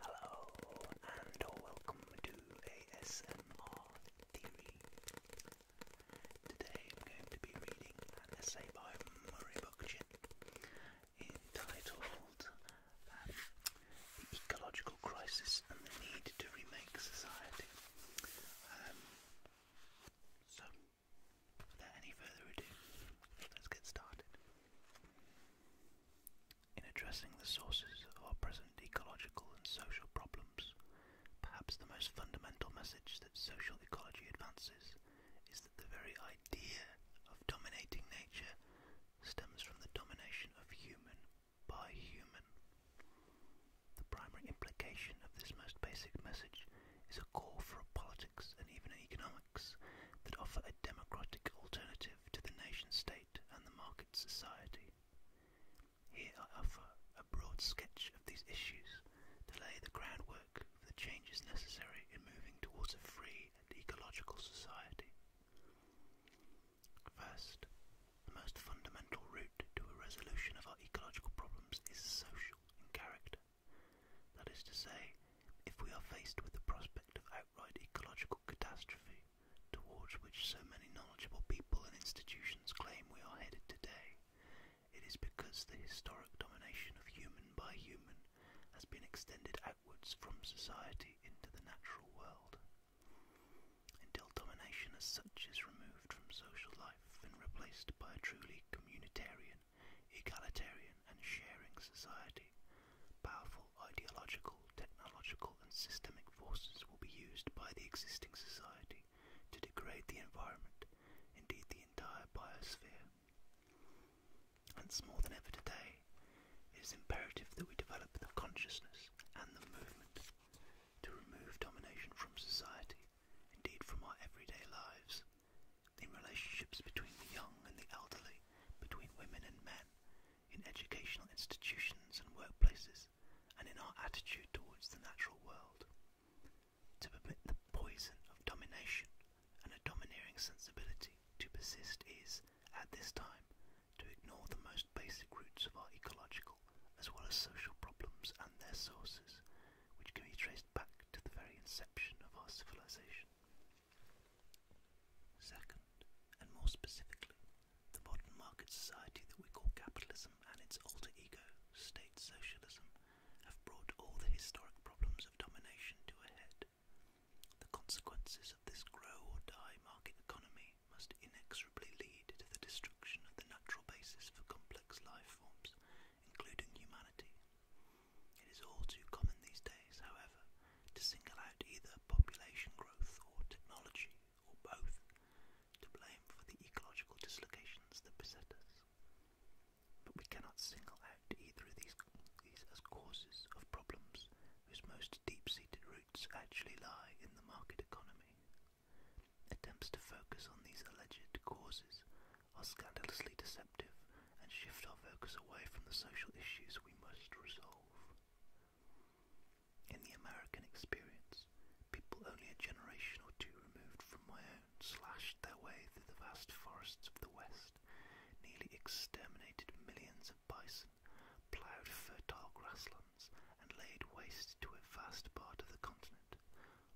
Hello and welcome to ASMR Theory. Today I'm going to be reading an essay by Murray Bookchin entitled um, The Ecological Crisis and the Need to Remake Society. Um, so, without any further ado, let's get started. In addressing the sources of our present ecological and social problems, perhaps the most fundamental message that social ecology advances is that the very idea of dominating nature stems from the domination of human by human. The primary implication of this most basic message is a call for a politics and even an economics that offer a democratic alternative to the nation state and the market society. Here I offer a broad sketch of these issues to lay the groundwork for the changes necessary in moving towards a free and ecological society. First, the most fundamental route to a resolution of our ecological problems is social in character. That is to say, if we are faced with the prospect of outright ecological catastrophe, towards which so many knowledgeable people and institutions claim we are headed today, it is because the historic domination of human by human has been extended outwards from society into the natural world. Until domination as such is removed from social life, and replaced by a truly communitarian, egalitarian, and sharing society, powerful ideological, technological, and systemic forces will be used by the existing society to degrade the environment, indeed the entire biosphere. Hence, more than ever today, it is imperative that we develop the consciousness and the movement to remove domination from society, indeed from our everyday lives. In relationships between the young and the elderly, between women and men, in educational institutions and workplaces, and in our attitude towards the natural world. To permit the poison of domination and a domineering sensibility to persist is, at this time, to ignore the most basic roots of our ecological as well as social problems and their sources, which can be traced back to the very inception of our civilization. Second, and more specifically, the modern market society that we call capitalism and its alter ego, state socialism, have brought all the historic problems of domination to a head. The consequences of this grow or die market economy must inexorably lead to the destruction of the natural basis for complex life life forms, including humanity. It is all too common these days, however, to single out either population growth or technology, or both, to blame for the ecological dislocations that beset us. But we cannot single out either of these, these as causes of problems whose most deep-seated roots actually lie in the market economy Attempts to focus on these alleged causes are scandalously deceptive and shift our focus away from the social issues we must resolve. In the American experience, people only a generation or two removed from my own slashed their way through the vast forests of the West, nearly exterminated millions of bison, ploughed fertile grasslands, and laid waste to a vast part of the continent,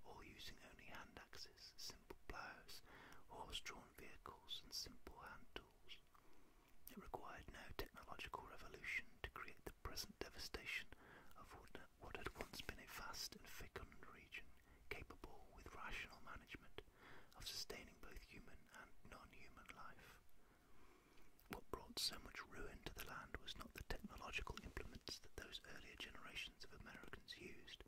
or using only hand axes, simple ploughs, horse-drawn vehicles, and simple hand tools. It required no technological revolution to create the present devastation of what had once been a vast and fecund region, capable, with rational management, of sustaining both human and non-human life. What brought so much ruin to the land was not the technological implements that those earlier generations proportions of Americans used,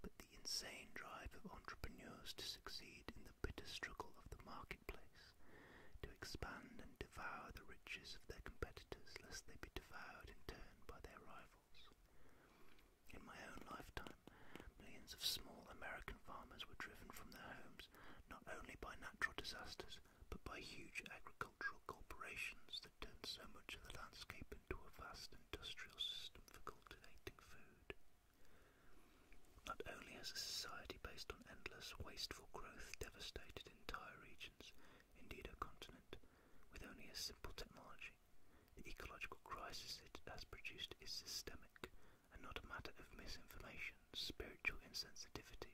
but the insane drive of entrepreneurs to succeed in the bitter struggle of the marketplace, to expand and devour the riches of their competitors lest they be devoured in turn by their rivals. In my own lifetime, millions of small American farmers were driven from their homes not only by natural disasters but by huge agricultural corporations that turned so much of the landscape into a vast industrial system for cultivating food. Not only has a society based on endless, wasteful growth devastated entire regions, indeed a continent, with only a simple technology, the ecological crisis it has produced is systemic and not a matter of misinformation, spiritual insensitivity,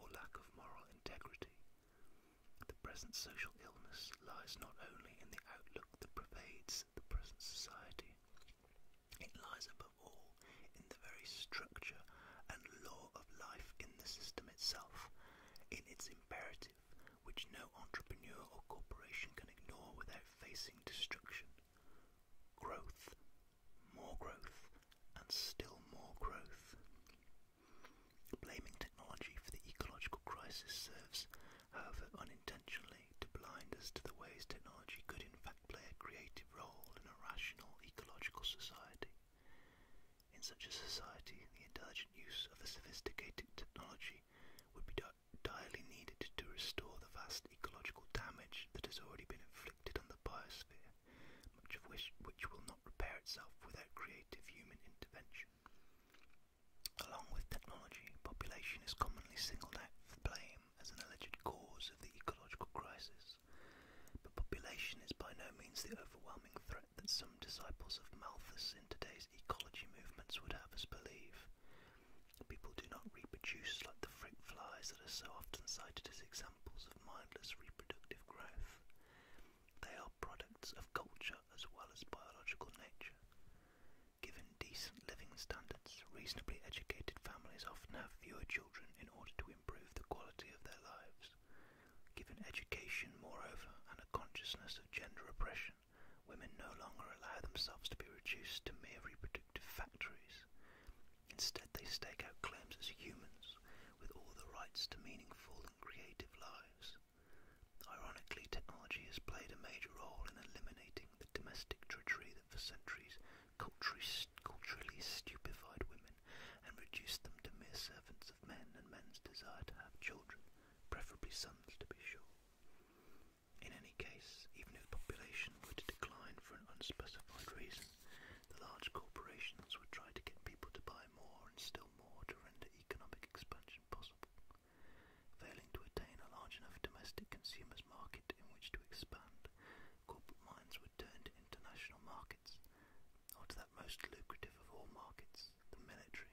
or lack of moral integrity. The present social illness lies not only in the outlook that pervades the present society, it lies above all in the very structure and law of life in the system itself, in its imperative, which no entrepreneur or corporation can ignore without facing destruction. Growth, more growth, and still more growth. Blaming technology for the ecological crisis serves, however unintentionally, to blind us to the ways technology could in fact play a creative role in a rational ecological society. In such a society, the intelligent use of a sophisticated technology would be direly needed to restore the vast ecological damage that has already been inflicted on the biosphere, much of which will not repair itself without creative human intervention. Along with technology, population is commonly singled out for blame as an alleged cause of the ecological crisis, but population is by no means the overwhelming threat that some disciples of Malthus in today's ecology movements would have us believe. People do not reproduce like the fruit flies that are so often cited as examples of mindless reproductive growth. They are products of culture as well as biological nature. Given decent living standards, reasonably educated families often have fewer children in order to improve the quality of their lives. Given education, moreover, and a consciousness of gender oppression, women no longer allow themselves to be reduced to mere reproductive factories. Instead, they stake out claims as humans with all the rights to meaningful and creative lives. Ironically, technology has played a major role in eliminating the domestic drudgery that for centuries culturally stupefied women and reduced them to mere servants of men and men's desire to have children, preferably sons to be sure. In any case, even if population were to decline for an unspecified reason, the large corporations would try to get people to buy more and still more to render economic expansion expansion possible, failing to attain a large enough domestic consumers market in which to expand, corporate minds would turn to international markets, or to that most lucrative of all markets, the military.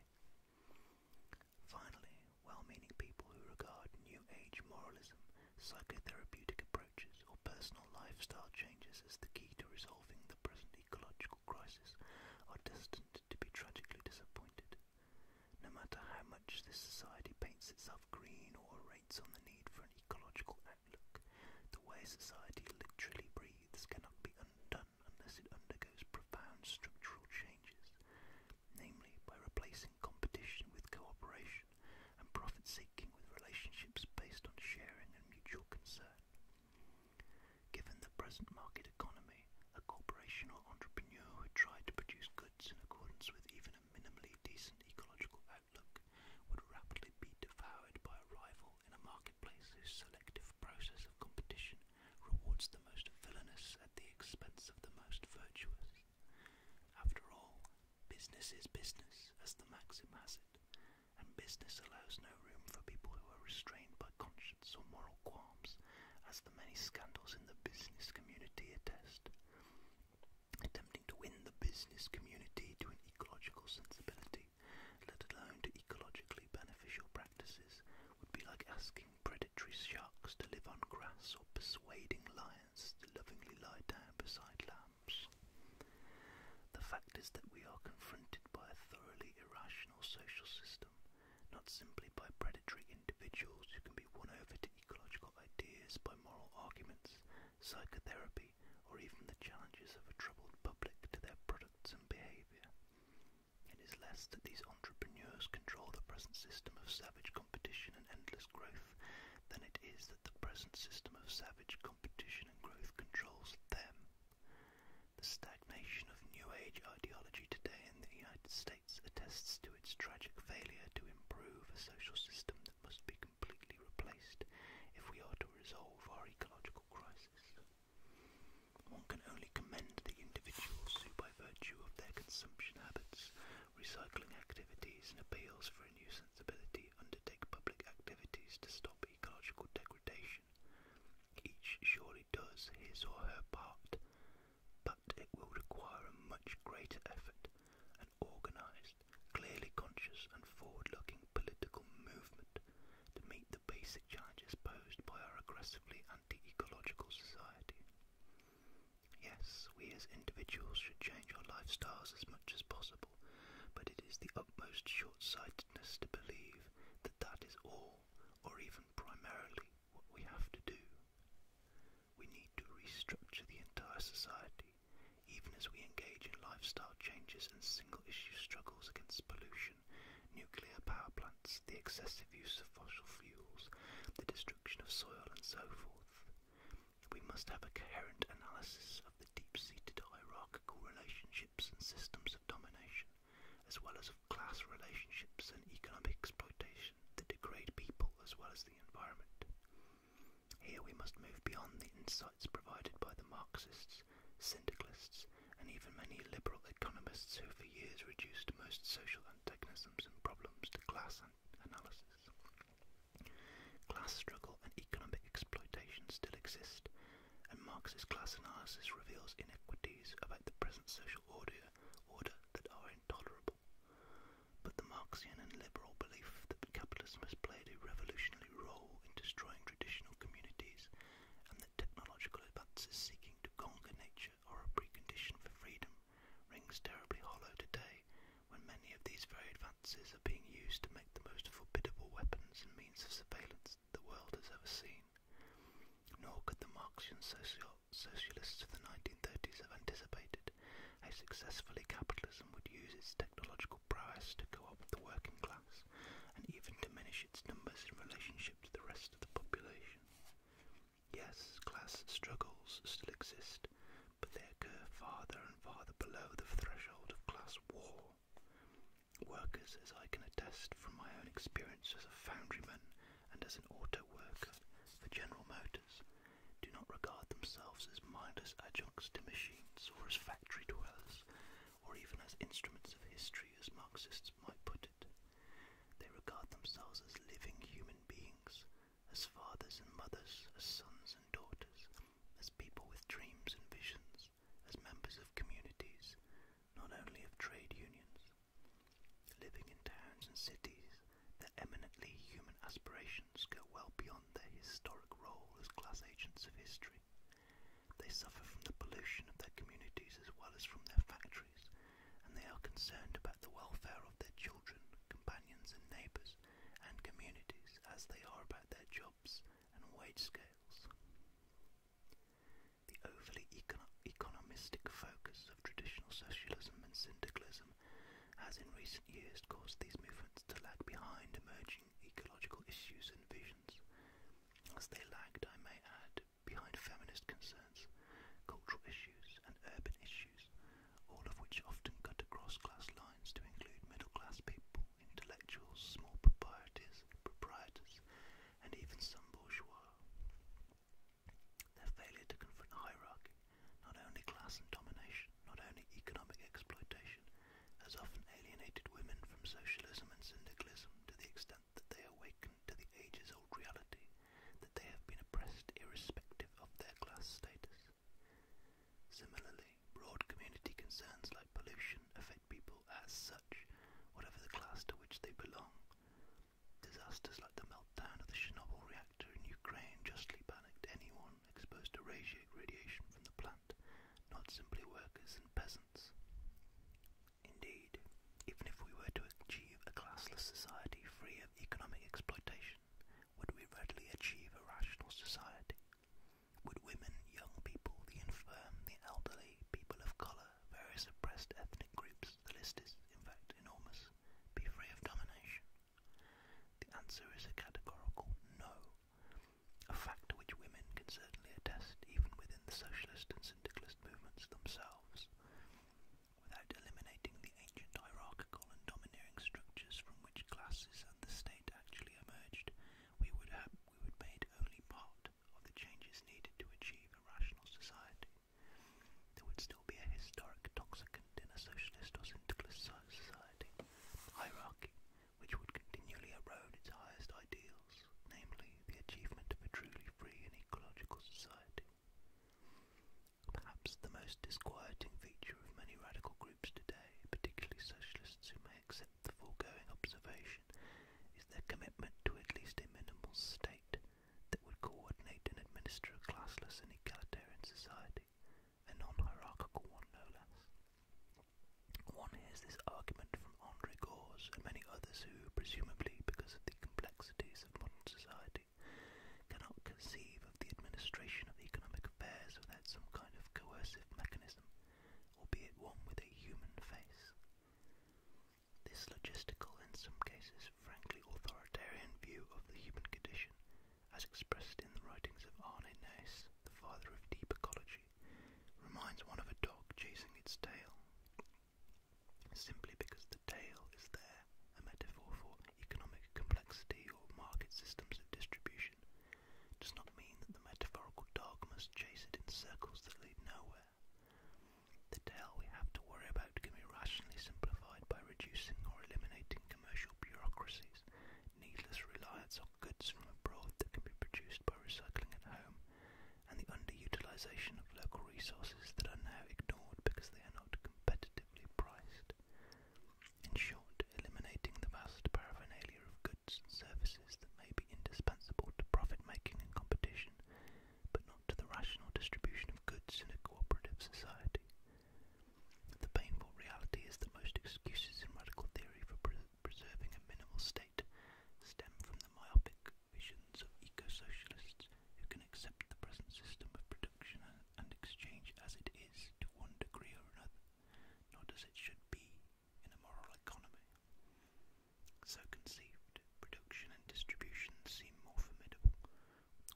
Finally, well-meaning people who regard New Age moralism, psychotherapeutic approaches, or personal lifestyle changes as the key to resolving the present ecological political crisis are destined to be tragically disappointed. No matter how much this society paints itself green or rates on the need for an ecological outlook, the way society literally breathes cannot be undone unless it undergoes profound structural changes, namely by replacing competition with cooperation and profit seeking with relationships based on sharing and mutual concern. Given the present market economy, a corporation or entrepreneur who tried to produce goods in accordance with even a minimally decent ecological outlook would rapidly be devoured by a rival in a marketplace whose selective process of competition rewards the most villainous at the expense of the most virtuous. After all, business is business, as the maxim has it, and business allows no room for people who are restrained by conscience or moral qualms as the many scandals in the business community attest. Attempting to win the business community to an ecological sensibility, let alone to ecologically beneficial practices, would be like asking predatory sharks to live on grass or persuading lions to lovingly lie down beside lambs. The fact is that we are confronted by a thoroughly irrational social system system, not simply by predatory individuals who can be won over to ecological ideas by moral arguments, psychotherapy, or even the challenges of a troubled public to their products and behaviour. It is less that these entrepreneurs control the present system of savage competition and endless growth than it is that the present system of savage competition and growth controls them. The stagnation of New Age ideology today in the United States attests to its tragic failure to improve a social system that must be completely replaced if we are to resolve our ecological crisis. One can only commend the individuals who, by virtue of their consumption habits, recycling activities, and appeals for a new sensibility, undertake public activities to stop ecological degradation each surely does his or her part, but it will require a much greater effort, an organised, clearly conscious and forward-looking political movement to meet the basic challenges posed by our aggressively anti-ecological society. Yes, we as individuals should change our lifestyles as much as possible, but it is the utmost short-sightedness to believe that that is all, or even primarily, what we have to do. We need to restructure the entire society, even as we engage in lifestyle changes and single issue struggles against pollution, nuclear power plants, the excessive use of fossil fuels, the destruction of soil, and so forth. We must have a coherent analysis of the deep seated hierarchical relationships and systems of domination as well as of class relationships and economic exploitation that degrade people as well as the environment. Here we must move beyond the insights provided by the Marxists, syndicalists, and even many liberal economists who for years reduced most social antagonisms and problems to class analysis. Class struggle and economic exploitation still exist, and Marxist class analysis reveals inequities about the present social order order that are intolerable. But the Marxian and liberal belief that capitalism has played a revolutionary role in destroying traditional communities and that technological advances seeking to conquer nature are a precondition for freedom rings terribly hollow today when many of these very advances are being used to make the most formidable weapons and means of surveillance the world has ever seen. Nor could the Marxian socialists of the 1930s have anticipated how successfully capitalism would use its technological prowess to co-opt the working class and even diminish its numbers in relationship to the rest of the population. Yes, class struggles still exist, but they occur farther and farther below the threshold of class war. Workers, as I can attest from my own experience as a foundryman and as an auto worker for General Motors do not regard themselves as mindless adjuncts to machines or as factory dwellers or even as instruments of history as Marxists might put it. They regard themselves as living human beings, as fathers and mothers, as sons and daughters, as people with dreams and visions, as members of communities, not only of trade unions, Living in towns and cities, their eminently human aspirations go well beyond their historic role as class agents of history. They suffer from the pollution of their communities as well as from their factories, and they are concerned about the welfare of their children, companions and neighbours, and communities as they are about their jobs and wage scales. The overly economic focus of traditional socialism and syndicalism has in recent years caused these movements to lag behind emerging ecological issues and visions. As they lagged, I may add, behind feminist concerns, cultural issues, and urban issues, all of which often cut across class lines to include middle class people, intellectuals, small proprietors, proprietors, and even some bourgeois. Their failure to confront hierarchy, not only class and domination, not only economic exploitation, has often alienated women from socialism and syndicalism to the extent that they awaken to the ages-old reality that they have been oppressed irrespective of their class status. Similarly, broad community concerns like pollution affect people as such, whatever the class to which they belong. Disasters like the meltdown of the Chernobyl reactor in Ukraine justly panicked anyone exposed to radiation from the plant, not simply workers and peasants. Indeed, even if we were to achieve a classless society free of economic exploitation, would we readily achieve a rational society? Would women, young people, the infirm, the elderly, people of colour, various oppressed ethnic groups the list is, in fact, enormous, be free of domination? The answer is a categorical no, a fact which women can certainly attest even within the socialist and syndicalist movements themselves. Without eliminating the ancient hierarchical and domineering structures from which classes and the state actually emerged, we would have we would made only part of the changes needed to achieve a rational society. There would still be a historic toxicant in a socialist or syndicalist society hierarchy which would continually erode its highest ideals, namely the achievement of a truly free and ecological society. Perhaps the most disquieting feature of many radical groups today, particularly socialists who may accept the foregoing observation, is their commitment to at least a minimal state that would coordinate and administer a classless and egalitarian society, a non-hierarchical one no less. One hears this argument from Andre Gors and many others who, presumably because of the complexities of modern society, cannot conceive of the administration of economic affairs without some kind of coercive mechanism, albeit one with a human face. This logistical, in some cases frankly authoritarian view of the human condition, as expressed in the writings of Arne Naess, the father of deep ecology, reminds one of a dog chasing its tail, simply because the tail is there, a metaphor for economic complexity or market systems of distribution, does not mean that the metaphorical dog must chase it in circles that lead nowhere. The tale we have to worry about can be rationally simplified by reducing or eliminating commercial bureaucracies, needless reliance on goods from abroad that can be produced by recycling at home, and the underutilization of local resources that are now ignored because they are not competitively priced. In short, eliminating the vast paraphernalia of goods and services that may be indispensable to profit making and competition but not to the rational distribution of goods in a cooperative society. The painful reality is that most excuses in radical theory for preserving a minimal state stem from the myopic visions of eco-socialists who can accept the present system of production and exchange as it is to one degree or another, not as it should be in a moral economy. So conceived, production and distribution seem more formidable,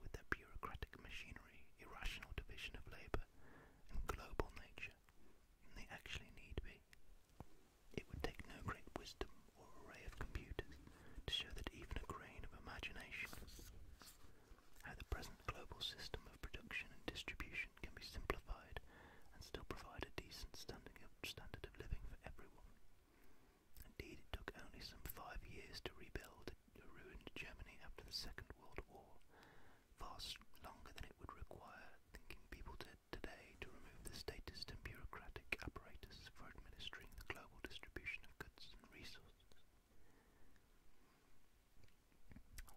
with their bureaucratic machinery, irrational division of labour, and global nature, they actually need be. It would take no great wisdom or array of computers to show that even a grain of imagination how the present global system of production and distribution can be simplified and still provide a decent standing of, standard of living for everyone. Indeed, it took only some five years to rebuild a ruined Germany after the Second World War, far longer than it would require thinking people did today to remove the statist and bureaucratic apparatus for administering the global distribution of goods and resources.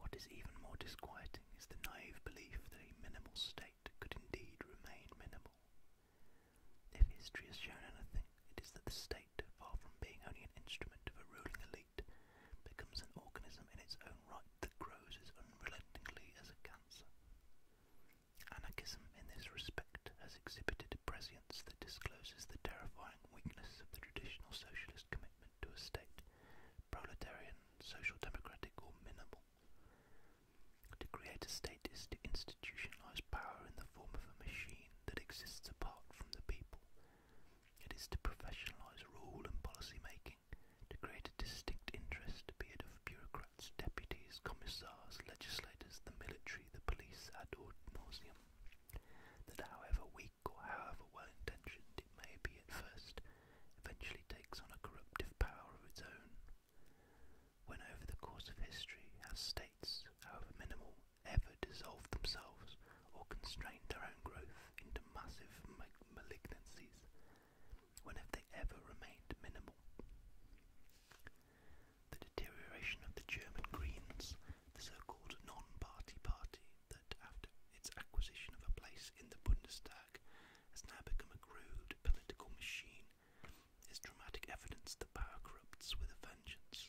What is even more disquieting is the naive belief that a minimal state could indeed remain minimal, if history has shown anything, it is that the state, far from being only an instrument of a ruling elite, becomes an organism in its own right that grows as unrelentingly as a cancer. Anarchism, in this respect, has exhibited a prescience that discloses the terrifying weakness of the traditional socialist commitment to a state, proletarian, social democratic, or minimal. To create a state is to institutionalize power in the form of a machine that exists apart from the people. It is to professionalize rule and policy making, to create a distinct interest, to be of bureaucrats, deputies, commissars, legislators, the military, the police, ad nauseum. That however weak or however well intentioned it may be at first, eventually takes on a corruptive power of its own. When over the course of history, as states, however minimal, ever dissolve themselves or constrain their own growth into massive malignancies, when have they ever remained minimal? The deterioration of the German Greens, the so-called non-party party that after its acquisition of a place in the Bundestag has now become a crude political machine is dramatic evidence that power corrupts with a vengeance.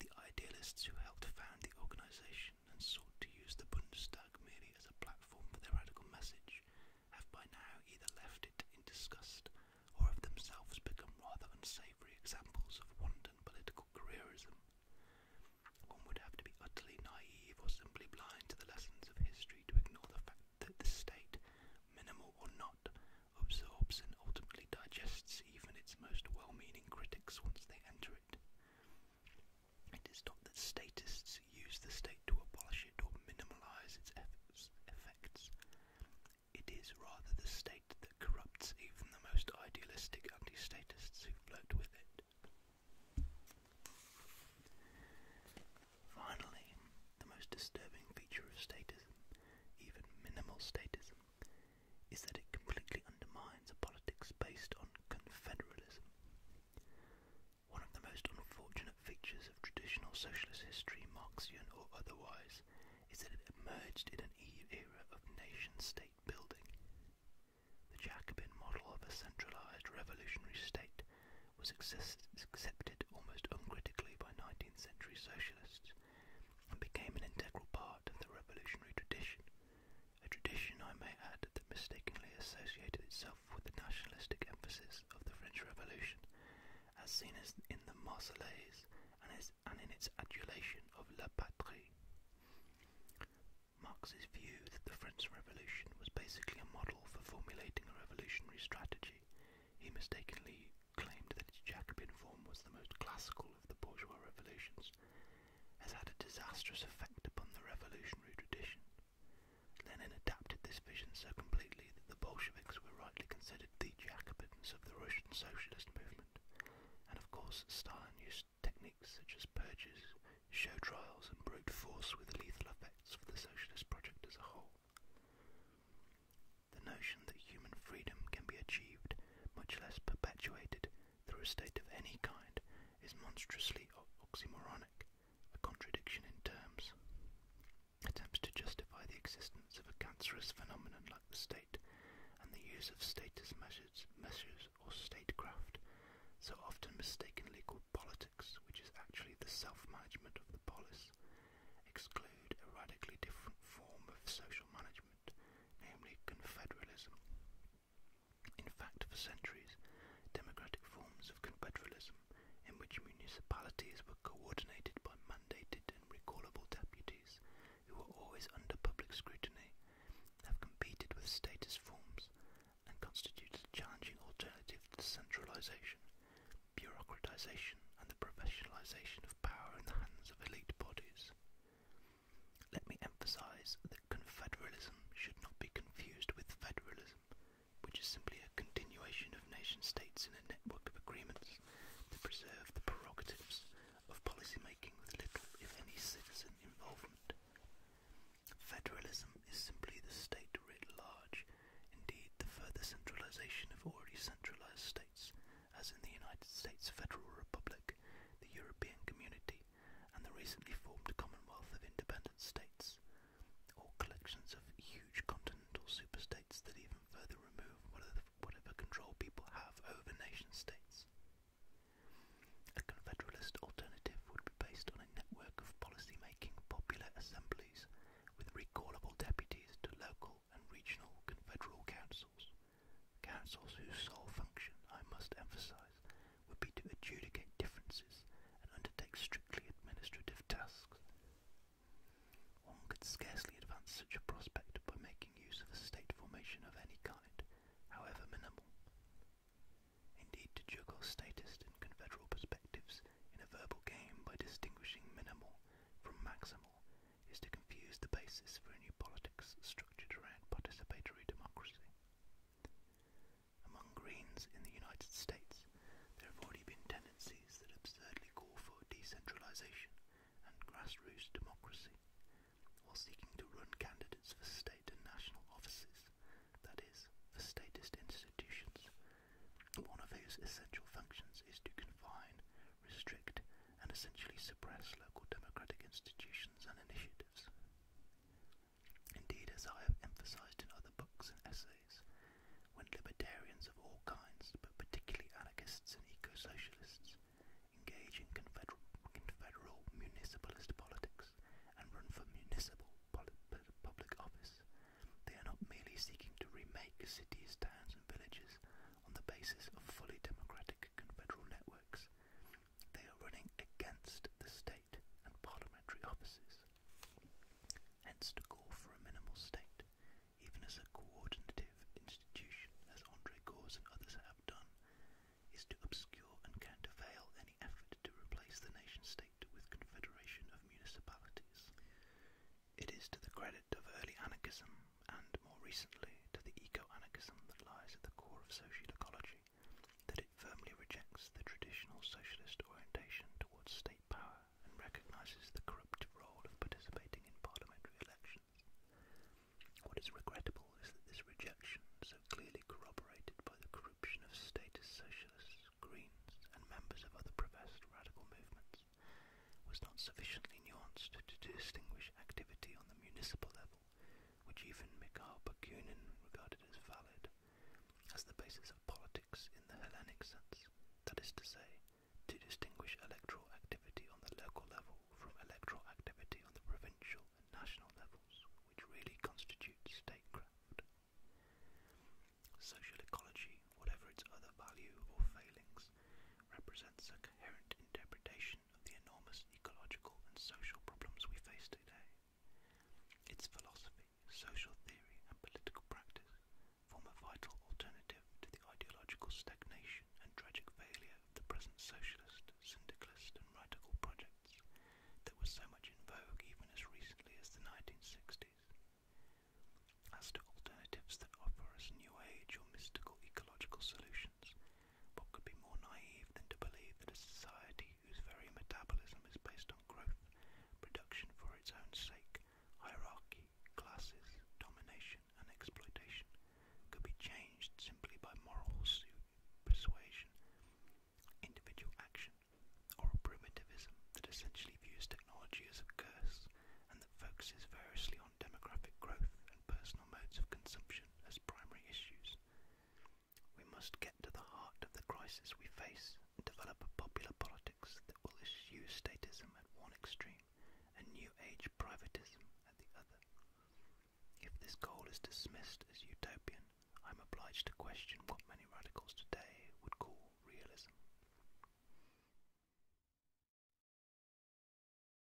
The idealists who helped found the organisation and sought to use the Bundestag merely as a platform for their radical message have by now either left it in disgust or have themselves become rather unsavoury examples of wanton political careerism. One would have to be utterly naive or simply blind to the lessons of history to ignore the fact that the state, minimal or not, absorbs and ultimately digests even its most well-meaning critics once they enter it. It is not that statists use the state to abolish it or minimize its effects. It is rather the state that corrupts even the most idealistic anti-statists who flirt with it. Finally, the most disturbing feature of statism, even minimal statism, is that it completely undermines a politics based on confederalism. One of the most unfortunate features of traditional socialist history, Marxian or otherwise, is that it emerged in an era of nation-state building. The Jacobin model of a centralised revolutionary state was accepted almost uncritically by 19th century socialists, and became an integral part of the revolutionary tradition, a tradition, I may add, that mistakenly associated itself with the nationalistic emphasis of the French Revolution, as seen in the Marseillaise and in its adulation of La Patrie. Marx's view that the French Revolution was basically a model for formulating a revolutionary strategy, he mistakenly claimed that its Jacobin form was the most classical of the bourgeois revolutions, has had a disastrous effect upon the revolutionary tradition. Lenin adapted this vision so completely that the Bolsheviks were rightly considered the Jacobins of the Russian socialist movement, and of course Stalin used techniques such as purges, show trials, and brute force with lethal effects for the socialist project as a whole. The notion that human freedom can be achieved, much less perpetuated, through a state of any kind is monstrously oxymoronic, a contradiction in terms. Attempts to justify the existence of a cancerous phenomenon like the state and the use of status measures, or statecraft, so often mistakenly called politics, which is actually the self-management of the polis, exclude a radically different form of social management namely confederalism. In fact, for centuries, democratic forms of confederalism, in which municipalities were coordinated by mandated and recallable deputies who were always under public scrutiny, have competed with status forms and constituted a challenging alternative to centralization, bureaucratization and the professionalization of power in the hands of elite bodies. Let me emphasize that confederalism should not be confused with federalism, which is simply a continuation of nation states in a network of agreements that preserve the prerogatives of policy making with little, if any, citizen involvement. Federalism is simply the state writ large, indeed, the further centralization of already centralized states as in the United States Federal Republic, the European Community, and the recently formed Commonwealth of Independent States, all collections of huge continental superstates that even further remove whatever control people have over nation states. A confederalist alternative would be based on a network of policy-making popular assemblies with recallable deputies to local and regional confederal councils councils. whose sole function, I must emphasize, would be to adjudicate differences and undertake strictly administrative tasks. One could scarcely advance such a prospect by making use of a state formation of any kind, however minimal. Indeed, to juggle status and confederal perspectives in a verbal game by distinguishing minimal from maximal is to confuse the basis for a new politics structured around participatory democracy. Among Greens in the United States, there have already been tendencies that absurdly call for decentralization and grassroots democracy, while seeking to run candidates for state and national offices, that is, for statist institutions, one of whose essential functions is to confine restrict, and essentially suppress local democratic institutions and initiatives. Indeed, as I have emphasized in other books and essays, when libertarians of all kinds, but particularly anarchists and eco-socialists, engage in confederal, confederal municipalist politics and run for municipal public office, they are not merely seeking to remake cities, towns and villages on the basis of fully democratic confederal networks. They are running against the state and parliamentary offices. Hence the call for a minimal state, even as a coordinative institution, as Andre Gors and others have done, is to obscure and countervail any effort to replace the nation state with confederation of municipalities. It is to the credit of early anarchism and more recently to the eco-anarchism that lies at the core of social ecology, that it firmly rejects the traditional socialist orientation towards state power and recognises the corrupt role of participating in parliamentary elections. What is regrettable is that this rejection, so clearly corroborated by the corruption of status socialists, Greens, and members of other professed radical movements, was not sufficiently nuanced to distinguish activity on the municipal level, which even Mikhail Bakunin regarded as valid, as the basis of politics in the Hellenic sense, that is to say, to distinguish electoral activity on the local level from electoral activity on the provincial and national levels, which really constitute statecraft. Social ecology, whatever its other value or failings, represents a coherent interpretation the enormous ecological and social problems we face today. Its philosophy, social theory, and political practice form a vital alternative to the ideological stagnation and tragic failure of the present socialist, syndicalist, and radical projects that were so much in vogue even as recently as the 1960s. As to alternatives that offer us new age or mystical ecological solutions, what could be more naive than to believe that a society whose very metabolism is based on growth, production for its own sake, hierarchy, classes, domination, and exploitation, could be changed simply by moral persuasion, individual action, or a primitivism that essentially views technology as a curse and that focuses variously on demographic growth and personal modes of consumption? corruption as primary issues. We must get to the heart of the crisis we face and develop a popular politics that will eschew statism at one extreme and New Age privatism at the other. If this goal is dismissed as utopian, I'm obliged to question what many radicals today would call realism.